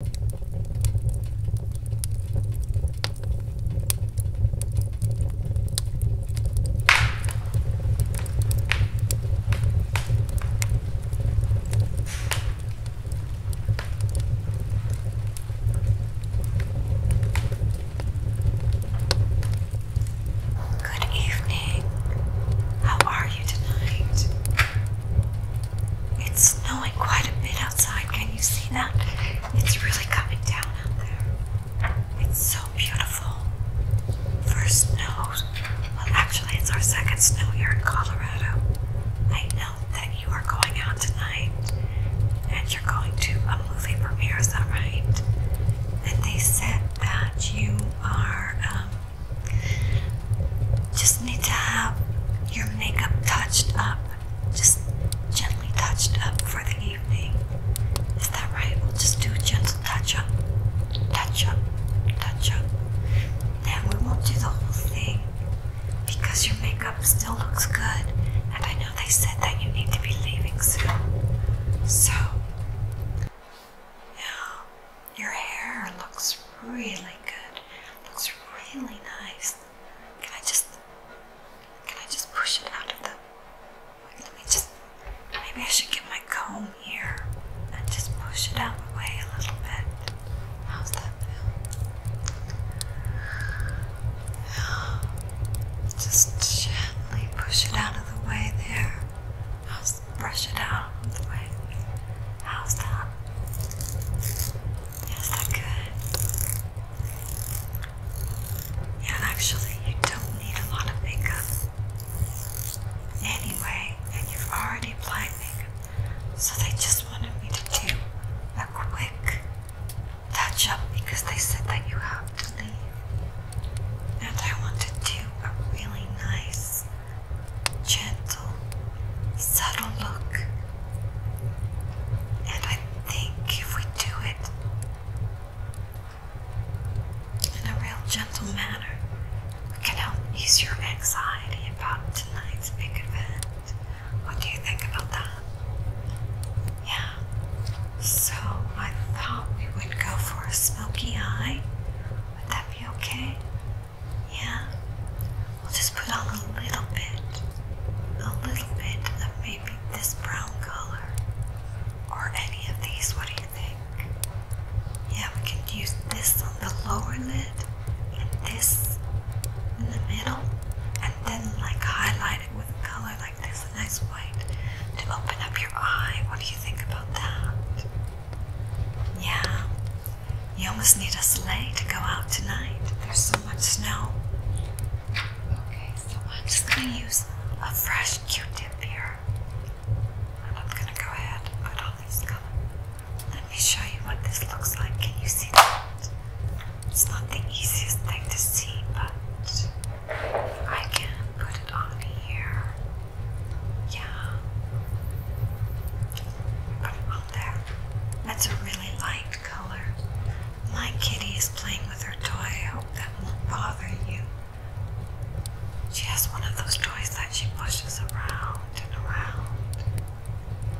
Good evening. How are you tonight? It's snowing quite a bit outside. Can you see that? It's really coming down out there. It's so beautiful. First snow. Well, actually, it's our second snow here in Colorado. I know that you are going out tonight and you're going to a movie premiere, is that right? And they said that you are um, just need to have your makeup touched up, just gently touched up for the evening. Is that right? We'll just do a gentle touch up, touch up, touch up. Then we won't do the whole thing because your makeup still looks good. And I know they said that you need to be leaving soon. So, yeah, your hair looks really really good. Looks really nice. Can I just can I just push it out of the let me just maybe I should get my comb here and just push it out of the way a little bit. How's that feel? Just gently push it out of the way there. Just brush it out of the way. How's that? Is that good? Yeah, actually, you don't need a lot of makeup anyway, and you've already applied makeup, so they just wanted me to do a quick touch up because they said that you have to leave. And I want to do a really nice, gentle subtle look. And I think if we do it in a real gentle manner, we can help ease your anxiety about tonight's big event. What do you think about that? Yeah. So I thought we would go for a smoky eye. Would that be okay? Yeah, we'll just put on a little bit, a little bit of maybe this brown color or any of these. What do you think? Yeah, we can use this on the lower lid and this in the middle and then like highlight it with a color like this, a nice white to open up your eye. What do you think about that? Yeah, you almost need a sleigh to go out tonight. There's so much snow. Okay, so I'm just going to use a fresh Q-tip here. I'm going to go ahead put on this color. Let me show you what this looks like. Can you see It's not the easiest thing to see, but I can put it on here. Yeah. Put it on there. That's a really light color. My kitty is playing with her toy. I hope that won't bother you. She has one of those toys that she pushes around and around,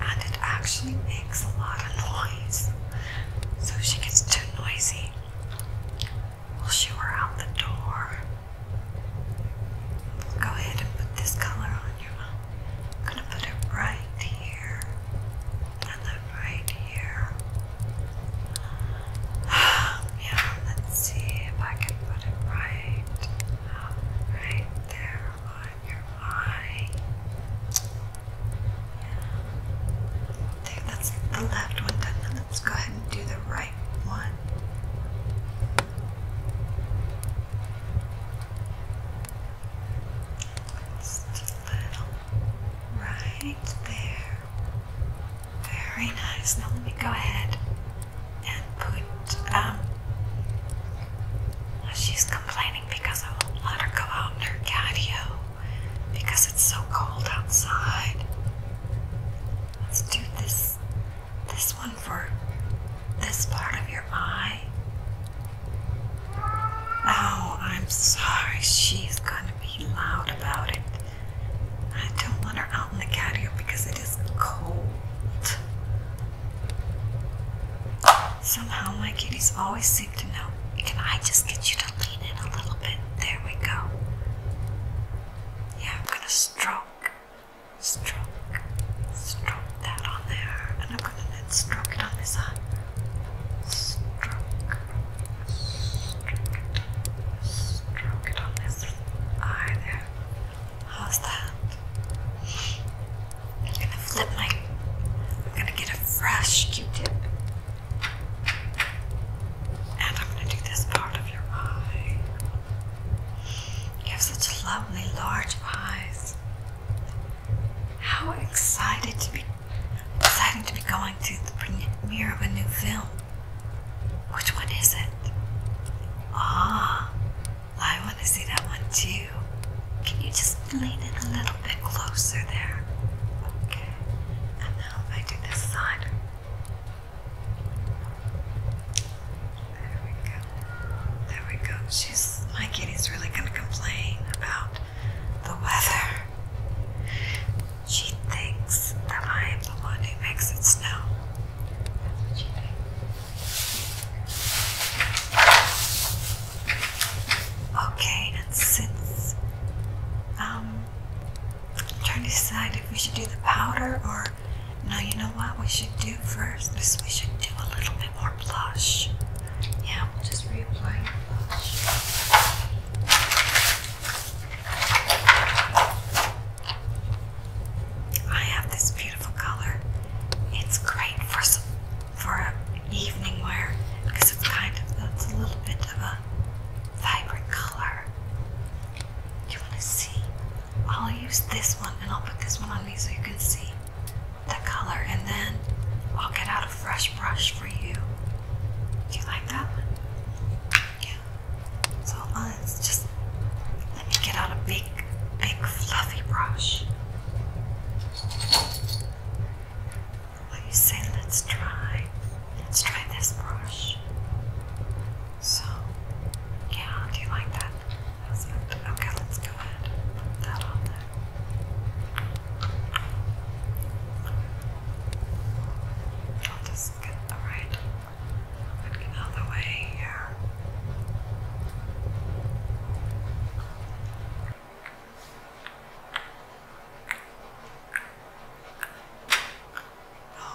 and it actually makes a lot of noise. So she gets too noisy, we'll shoo her out the door. Go ahead and put this color on your I'm gonna put it right here. Put it right here. Yeah, let's see if I can put it right, right there on your eye. think that's the left one done. let's go ahead and do the right one. Just a little right there. Very nice. Now let me go ahead and put um she's complaining because I won't let her go out in her catio because it's so cold outside. Let's do this this one for this part of your eye. Oh, I'm sorry. She's going to be loud about it. I don't want her out in the patio because it is cold. Somehow my kitties always seem to know. Can I just get you to lean in a little bit? There we go. Yeah, I'm going to stroke stroke, stroke that on there, and I'm gonna then stroke it on this eye. Stroke, stroke, stroke it on this eye there. How's that? I'm gonna flip my. I'm gonna get a fresh Q-tip, and I'm gonna do this part of your eye. You have such lovely large eyes. How excited to be exciting to be going to the premiere of a new film. Which one is it? Ah, I want to see that one too. Can you just lean in a little bit closer there? Okay, and now I do this side. There we go. There we go. She's my kitty's really gonna complain about the weather. She thinks that I am the one who makes it snow. That's what she thinks. Okay, and since um trying to decide if we should do the powder or no, you know what we should do first we should do a little bit more blush. Yeah, we'll just reapply the blush. I have this beautiful color. It's great for some, for evening wear it's kind of it's a little bit of a vibrant color. Do you want to see? I'll use this one and I'll put this one on me so you can see the color and then I'll get out a fresh brush for you. Do you like that one? Yeah. So let's just let me get out a big, big fluffy brush. What you say? Let's try. Let's try this brush. So, yeah, do you like that? okay, let's go ahead put that on there. I'll just get the right looking out the way here.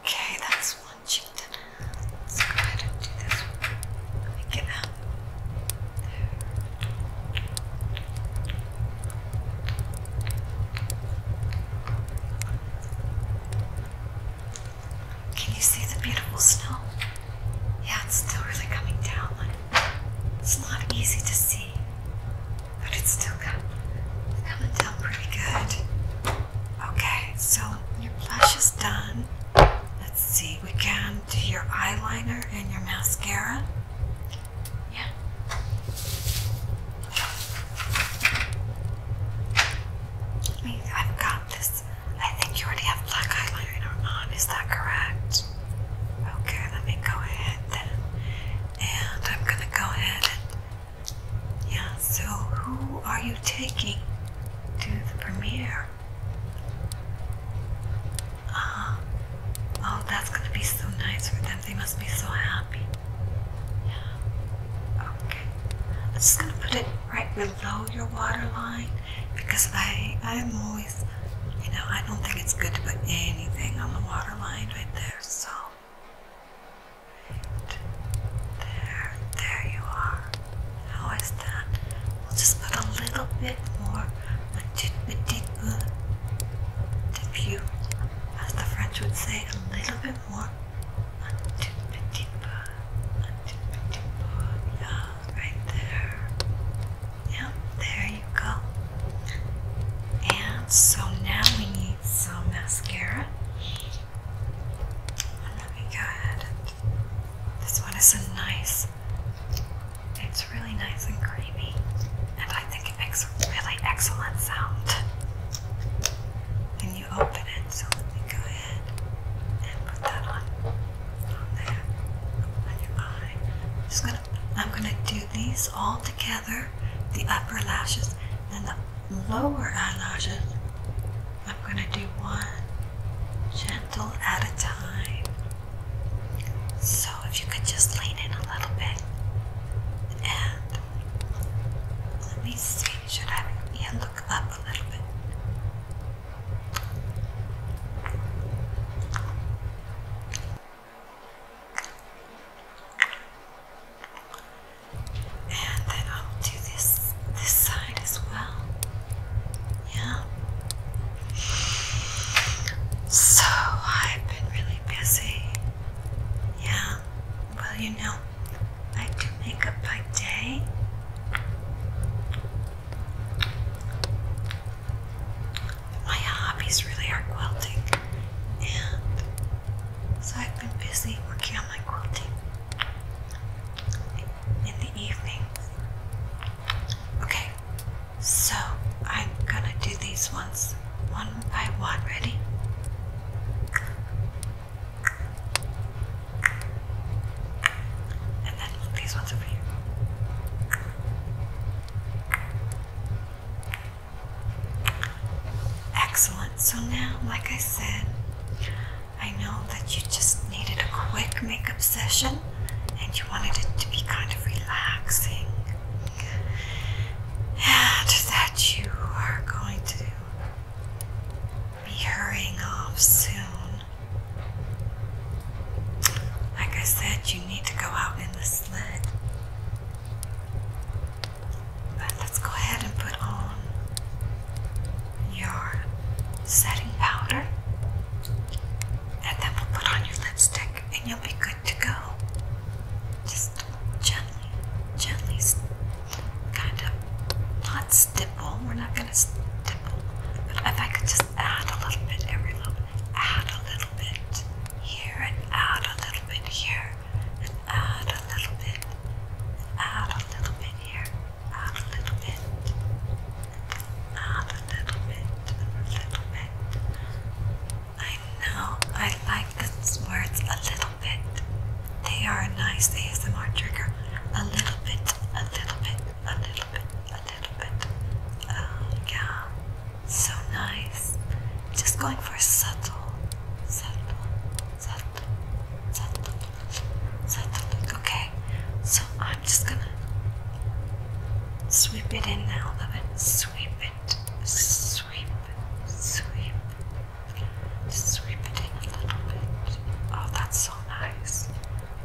Okay, that's one chicken. Let's go ahead and do this one. Pick it up. Can you see the beautiful snow? Yeah, it's still really coming down. it's not easy to see, but it's still coming, coming down pretty good. Okay, so your blush is done. Let's see, we can do your eyeliner and your mascara. Yeah. I mean, I've got this. I think you already have black eyeliner on, is that correct? Okay, let me go ahead then. And I'm gonna go ahead Yeah, so who are you taking to the premiere? more. Ah. oh, that's gonna be so nice for them. They must be so happy. Okay. I'm just gonna put it right below your water line because I I'm always you know, I don't think it's good to put anything on the water line right there, so there, there you are. How is that? We'll just put a little bit more uh, the view, as the French would say, a little bit more. Yeah, right there. Yeah, there you go. And so now we need some mascara. And let me this one is a nice, it's really nice and creamy, and I think it makes a really excellent sound. when you open it, so let me go ahead and put that on, on there, on your eye. I'm just gonna, I'm gonna do these all together, the upper lashes and the lower eyelashes I'm going to do one gentle at a time. So if you could just lean in a little bit and let me see, should I yeah, look up a little bit? And then I'll do this this side side as well. Yeah. So I've been really busy. Yeah. Well, you know, I do makeup by day. My hobbies really are quilting, and so I've been busy working on my quilting in the evening. Okay, so I'm gonna do these ones one by one. Ready? And then these ones over here. Excellent. So now, like I said, I know that you just needed a quick makeup session and you wanted it to be kind of relaxing. And that you are going to be hurrying off soon. Like I said, you need to go out in the sled. But let's go ahead and put on your setting powder, and then we'll put on your lipstick, and you'll be good to go. Just gently, gently, kind of not stipple. We're not going to stipple, but if I could just add a little bit every little, add a little bit here, and add a little bit here, and add a little bit, add a little bit here half a little bit, half a little bit, a little bit. I know I like those words a little bit. They are a nice ASMR trigger. A little bit, a little bit, a little bit, a little bit. Oh, yeah, so nice. Just going for subtle, subtle, subtle, subtle. So I think, okay, so I'm just gonna sweep it in now a little bit. Sweep it, sweep, sweep, just sweep it in a little bit. Oh, that's so nice.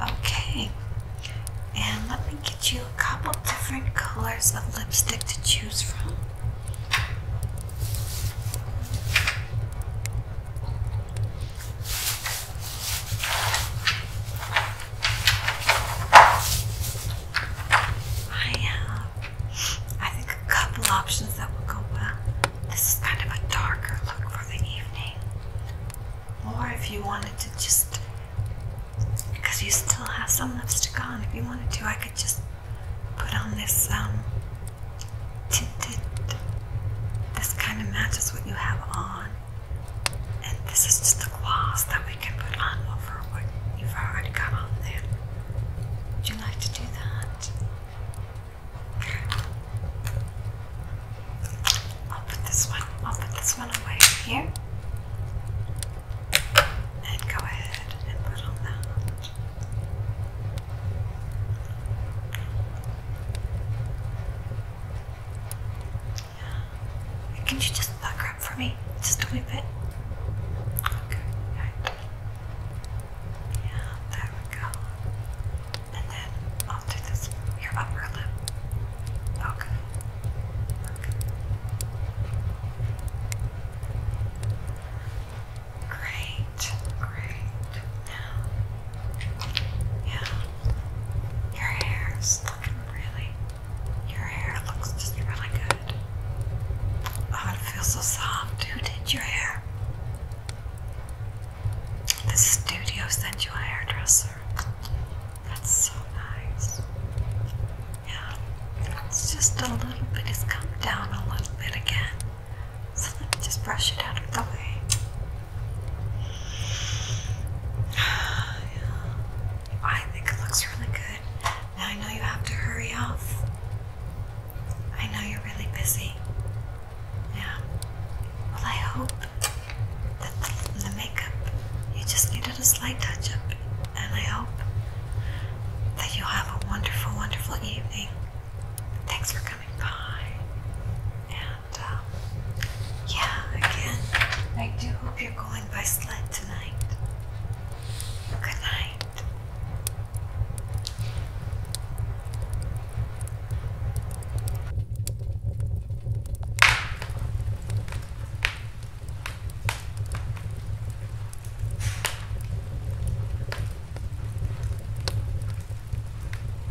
Okay, and let me get you a couple different colors of lipstick to choose from. I have, uh, I think, a couple options that will go well. This is kind of a darker look for the evening. Or if you wanted to just, because you still have some lipstick on, if you wanted to, I could just put on this um, This kind of matches what you have on. And this is just the glass that we can put on over what you've already got on there. Would you like to do that? I'll put this one, I'll put this one away here. And go ahead and put on that. Can you just pucker up for me? Just a wee bit. Okay. Yeah, there we go. And then I'll do this your upper lip. Okay. Okay. Great. Great. Now yeah. Your hair's looking really. Your hair looks just really good. Oh, it feels so soft. Who did your hair? The studio sent you a hairdresser. That's so nice. Yeah. It's just a little bit. It's come down a little bit again. So let me just brush it out of the way. I think it looks really good. I know you have to hurry off. I know you're really busy. Yeah. Well, I hope that the, makeup, you just needed a slight touch up. And I hope that you'll have a wonderful, wonderful evening. Thanks for coming by. And um, yeah, again, I do hope you're going by sled tonight. Good night.